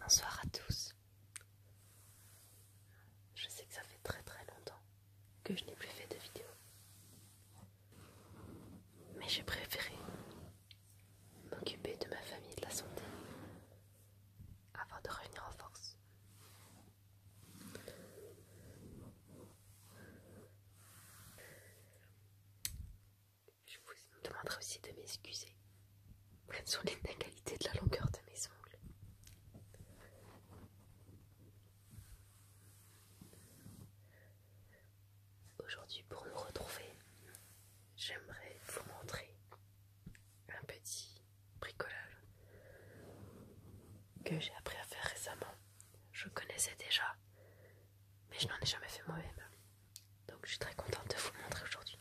Bonsoir à tous. Je sais que ça fait très très longtemps que je n'ai plus fait de vidéo. Mais j'ai préféré m'occuper de ma famille et de la santé avant de revenir en force. Je vous demanderai aussi de m'excuser les l'inégalité de la longueur de mes ongles. Aujourd'hui, pour nous retrouver, j'aimerais vous montrer un petit bricolage que j'ai appris à faire récemment je connaissais déjà, mais je n'en ai jamais fait moi-même. Donc je suis très contente de vous le montrer aujourd'hui.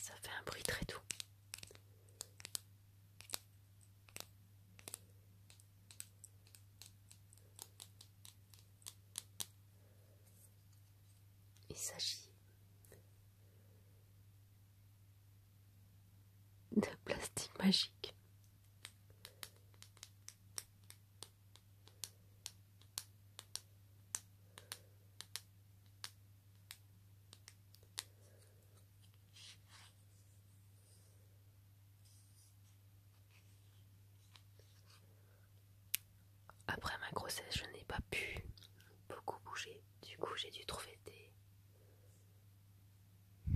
Ça fait un bruit très doux. Il s'agit de plastique magique. Après ma grossesse, je n'ai pas pu beaucoup bouger. Du coup, j'ai dû trouver des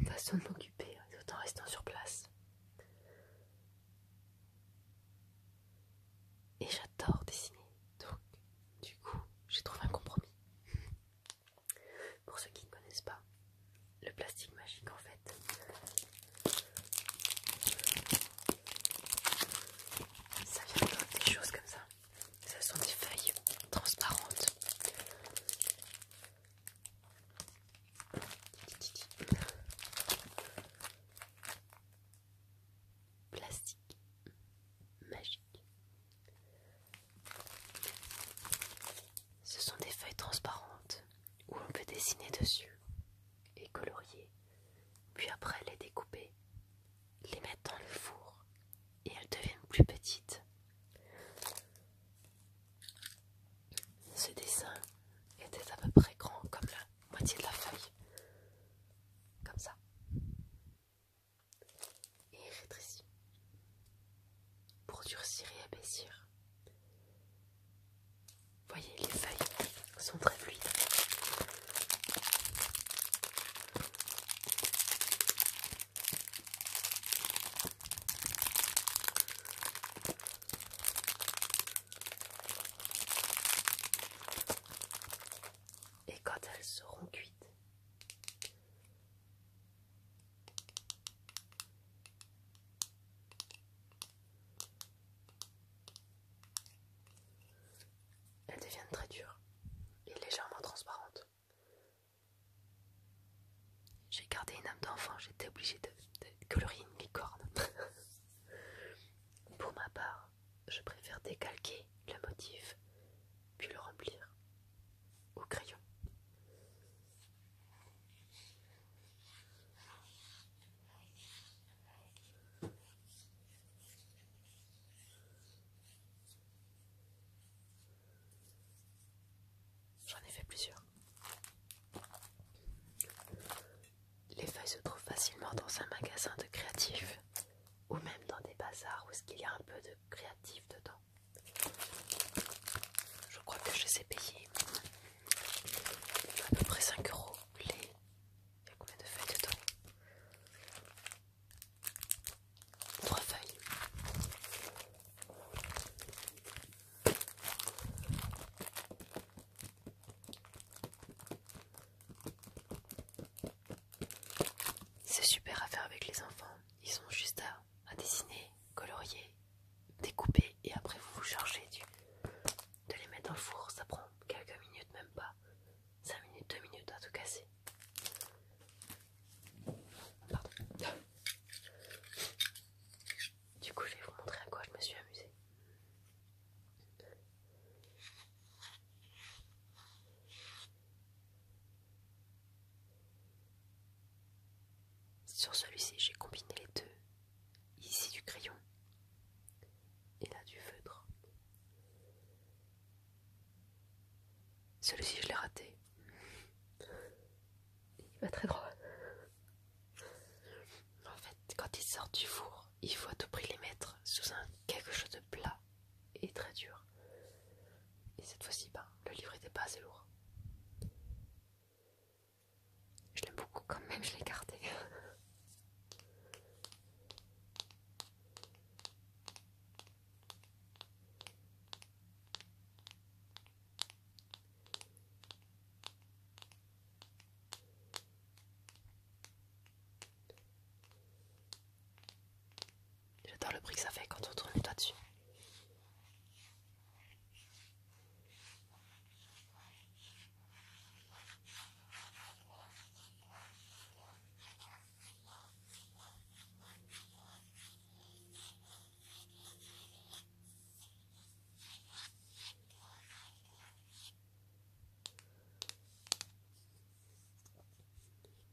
façons de m'occuper tout en restant sur place. Et j'adore dessiner. Donc, du coup, j'ai trouvé un compromis. Pour ceux qui ne connaissent pas, le plastique magique en fait. Ça vient de des choses comme ça. Ce sont des feuilles transparentes plastique magique. Ce sont des feuilles transparentes où on peut dessiner dessus et colorier, puis après les découper, les mettre dans le four et elles deviennent plus petites. Ce dessin était à peu près grand comme la moitié de la feuille, comme ça et rétrécir pour durcir et épaissir. Voyez, les feuilles sont très fluides et quand elles seront cuites. Elles deviennent très dures et légèrement transparentes. J'ai gardé une âme d'enfant, j'étais obligée de, colorier une licorne. Pour ma part, je préfère décalquer le motif puis le remplir au crayon. J'en ai fait plusieurs. Les feuilles se trouvent facilement dans un magasin de créatifs ou même dans des bazars où est-ce qu'il y a un peu de créatif dedans. Je crois que je les ai payés à peu près 5 euros les. Il y a combien de feuilles dedans 3 feuilles. C'est super à faire avec les enfants. Ils ont juste à, dessiner, colorier, découper et après vous vous chargez de les mettre dans le four. Ça prend quelques minutes, même pas 5 minutes, 2 minutes à tout casser. Pardon. Du coup, je vais vous montrer à quoi je me suis amusée. Sur celui-ci, j'ai combiné les deux. Ici du crayon et là du feutre. Celui-ci, je l'ai raté. Il va très droit quand ils sortent du four, il faut à tout prix les mettre sous un quelque chose de plat et très dur. Et cette fois-ci, ben, le livre n'était pas assez lourd. Je l'aime beaucoup quand même, je l'ai gardé. J'adore le bruit que ça fait quand on tourne là dessus.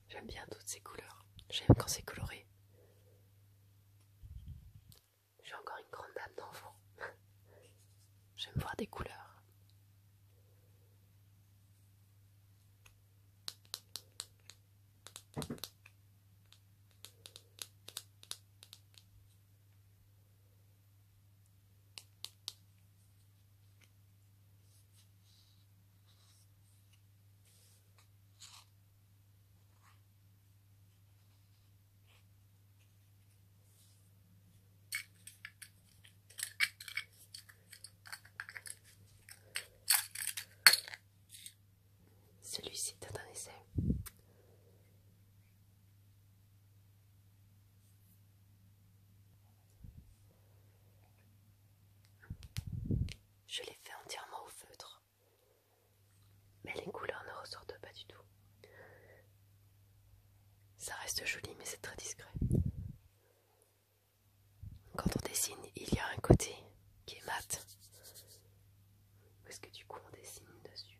J'aime bien toutes ces couleurs. J'aime quand c'est coloré. J'ai encore une grande dame d'enfant. J'aime voir des couleurs. Celui-ci est un essai. Je l'ai fait entièrement au feutre, mais les couleurs ne ressortent pas du tout. Ça reste joli, mais c'est très discret. Quand on dessine, il y a un côté qui est mat, parce que du coup on dessine dessus.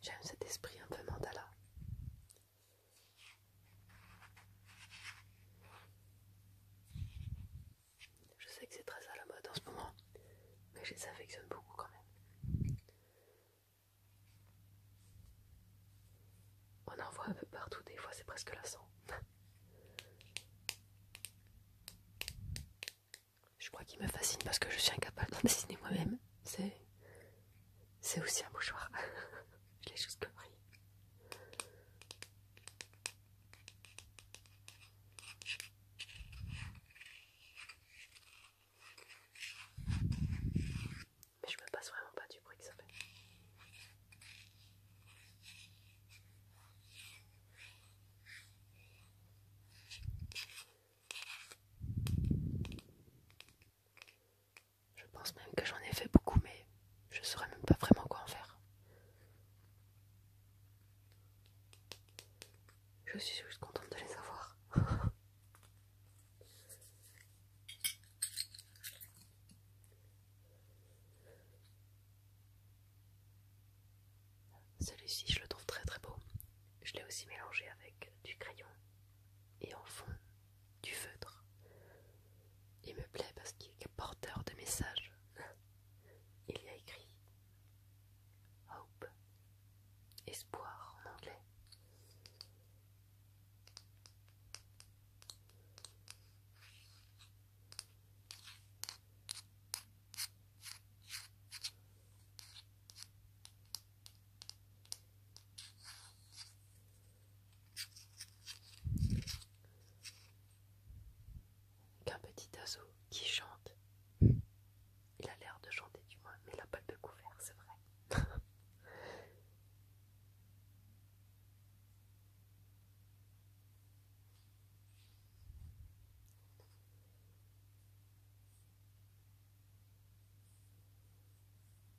J'aime cet esprit un peu mandala. Je sais que c'est très à la mode en ce moment, mais je les affectionne beaucoup quand même. On en voit un peu partout, des fois c'est presque lassant. Je crois qu'il me fascine parce que je suis incapable d'en dessiner moi-même. C'est aussi un bouchoir, je l'ai juste compris. Mais je me passe vraiment pas du bruit que ça fait. Je pense même que j'en ai fait beaucoup, mais je ne saurais même pas vraiment quoi en faire. Je suis juste contente de les avoir. Celui-ci, je le trouve très très beau. Je l'ai aussi mélangé avec du crayon et en fond du feutre. Il me plaît parce qu'il est porteur de messages. Il y a écrit Hope, espoir en anglais qu'un petit oiseau qui chante. Hmm. Il a l'air de chanter du moins, mais il n'a pas le couvert, c'est vrai.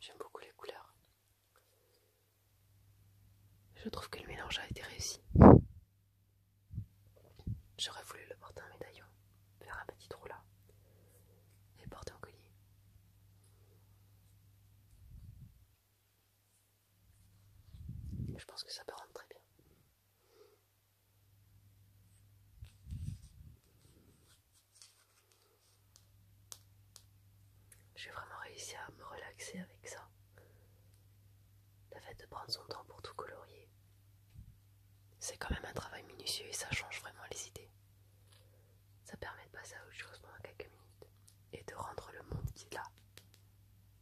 J'aime beaucoup les couleurs. Je trouve que le mélange a été réussi. J'aurais voulu le porter un médaillon, faire un petit trou là, et porter en collier. Je pense que ça peut rendre très bien. J'ai vraiment réussi à me relaxer avec ça. Le fait de prendre son temps pour tout colorier. C'est quand même un travail minutieux et ça change vraiment les idées. Ça permet de passer à autre chose pendant quelques minutes et de rendre le monde qui est là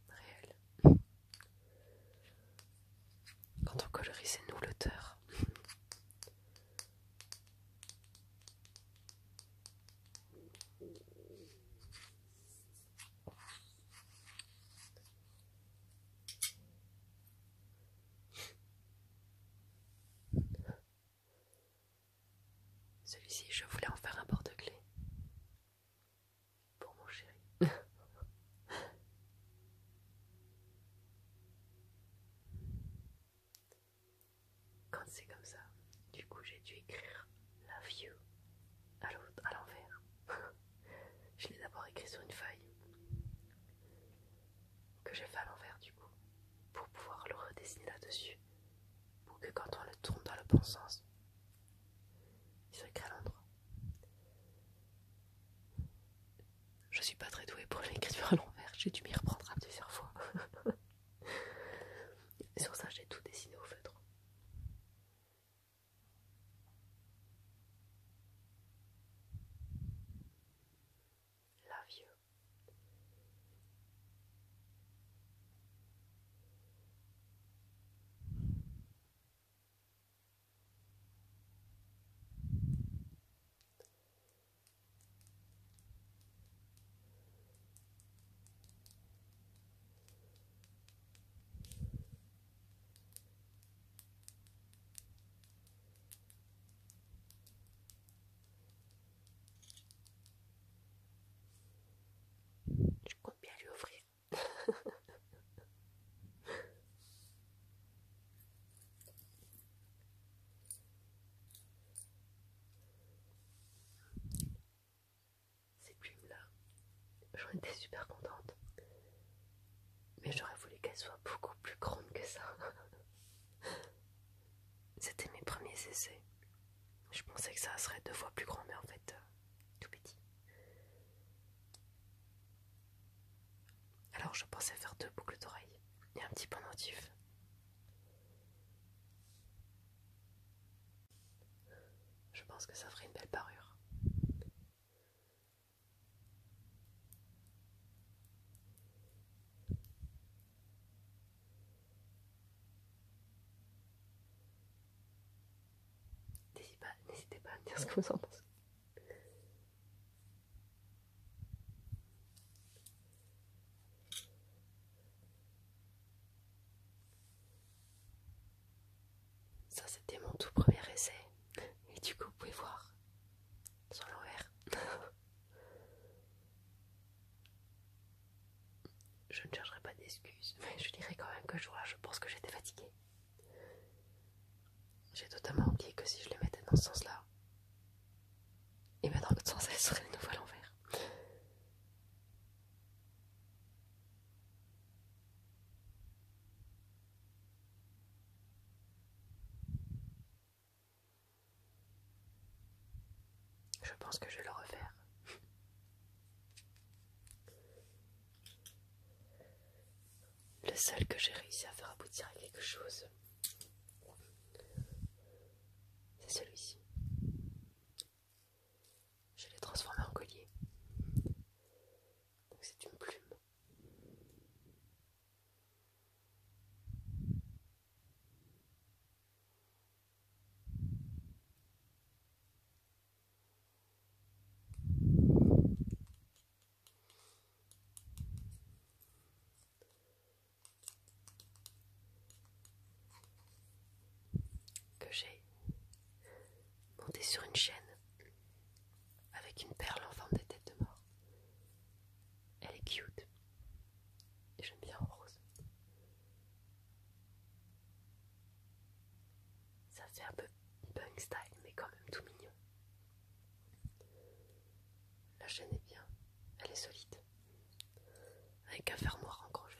réel. Quand on colorise, nous l'auteur. Celui-ci, je voulais en faire un porte clé. pour mon chéri. Quand c'est comme ça, du coup j'ai dû écrire la You à l'envers. je l'ai d'abord écrit sur une feuille que j'ai fait à l'envers du coup pour pouvoir le redessiner là-dessus pour que quand on le tourne dans le bon sens, il soit écrit à l'endroit. Je suis pas très douée pour l'écriture à l'envers, j'ai dû m'y reprendre à plusieurs fois. sur ça, j'ai tout dessiné au feutre. La vieux. Je compte bien lui offrir. Ces plumes-là, j'en étais super contente. Mais j'aurais voulu qu'elles soient beaucoup plus grandes que ça. C'était mes premiers essais. Je pensais que ça serait deux fois plus grand, mais en fait, euh, tout petit. Alors je pensais faire deux boucles d'oreilles et un petit pendentif. Je pense que ça ferait une belle parure. N'hésitez pas, pas à me dire ce que vous en pensez. Ça, c'était mon tout premier essai. Et du coup, vous pouvez voir sur l'envers. je ne chercherai pas d'excuses, mais je dirais quand même que je, vois, je pense que j'étais fatiguée. J'ai totalement oublié que si je les mettais dans ce sens-là, et eh bien dans l'autre sens, elles serait de nouveau à l'envers. Je pense que je vais le refaire. Le seul que j'ai réussi à faire aboutir à quelque chose, c'est celui-ci. Je l'ai transformé en collier. c'est une plume que j'ai monté sur une chaîne avec une perle en forme de tête de mort. Elle est cute et j'aime bien en rose. Ça fait un peu punk style, mais quand même tout mignon. La chaîne est bien, elle est solide, avec un fermoir encroché.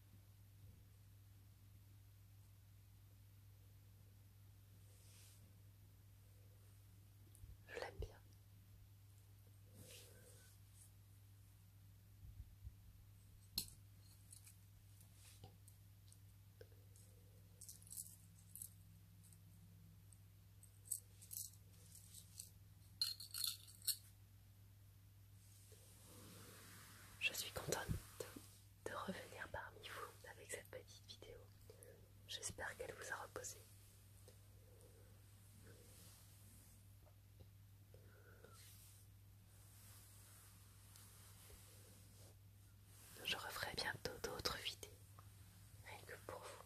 Je l'aime bien. Je suis contente de revenir parmi vous avec cette petite vidéo. J'espère qu'elle vous a reposé. Je referai bientôt d'autres vidéos, rien que pour vous.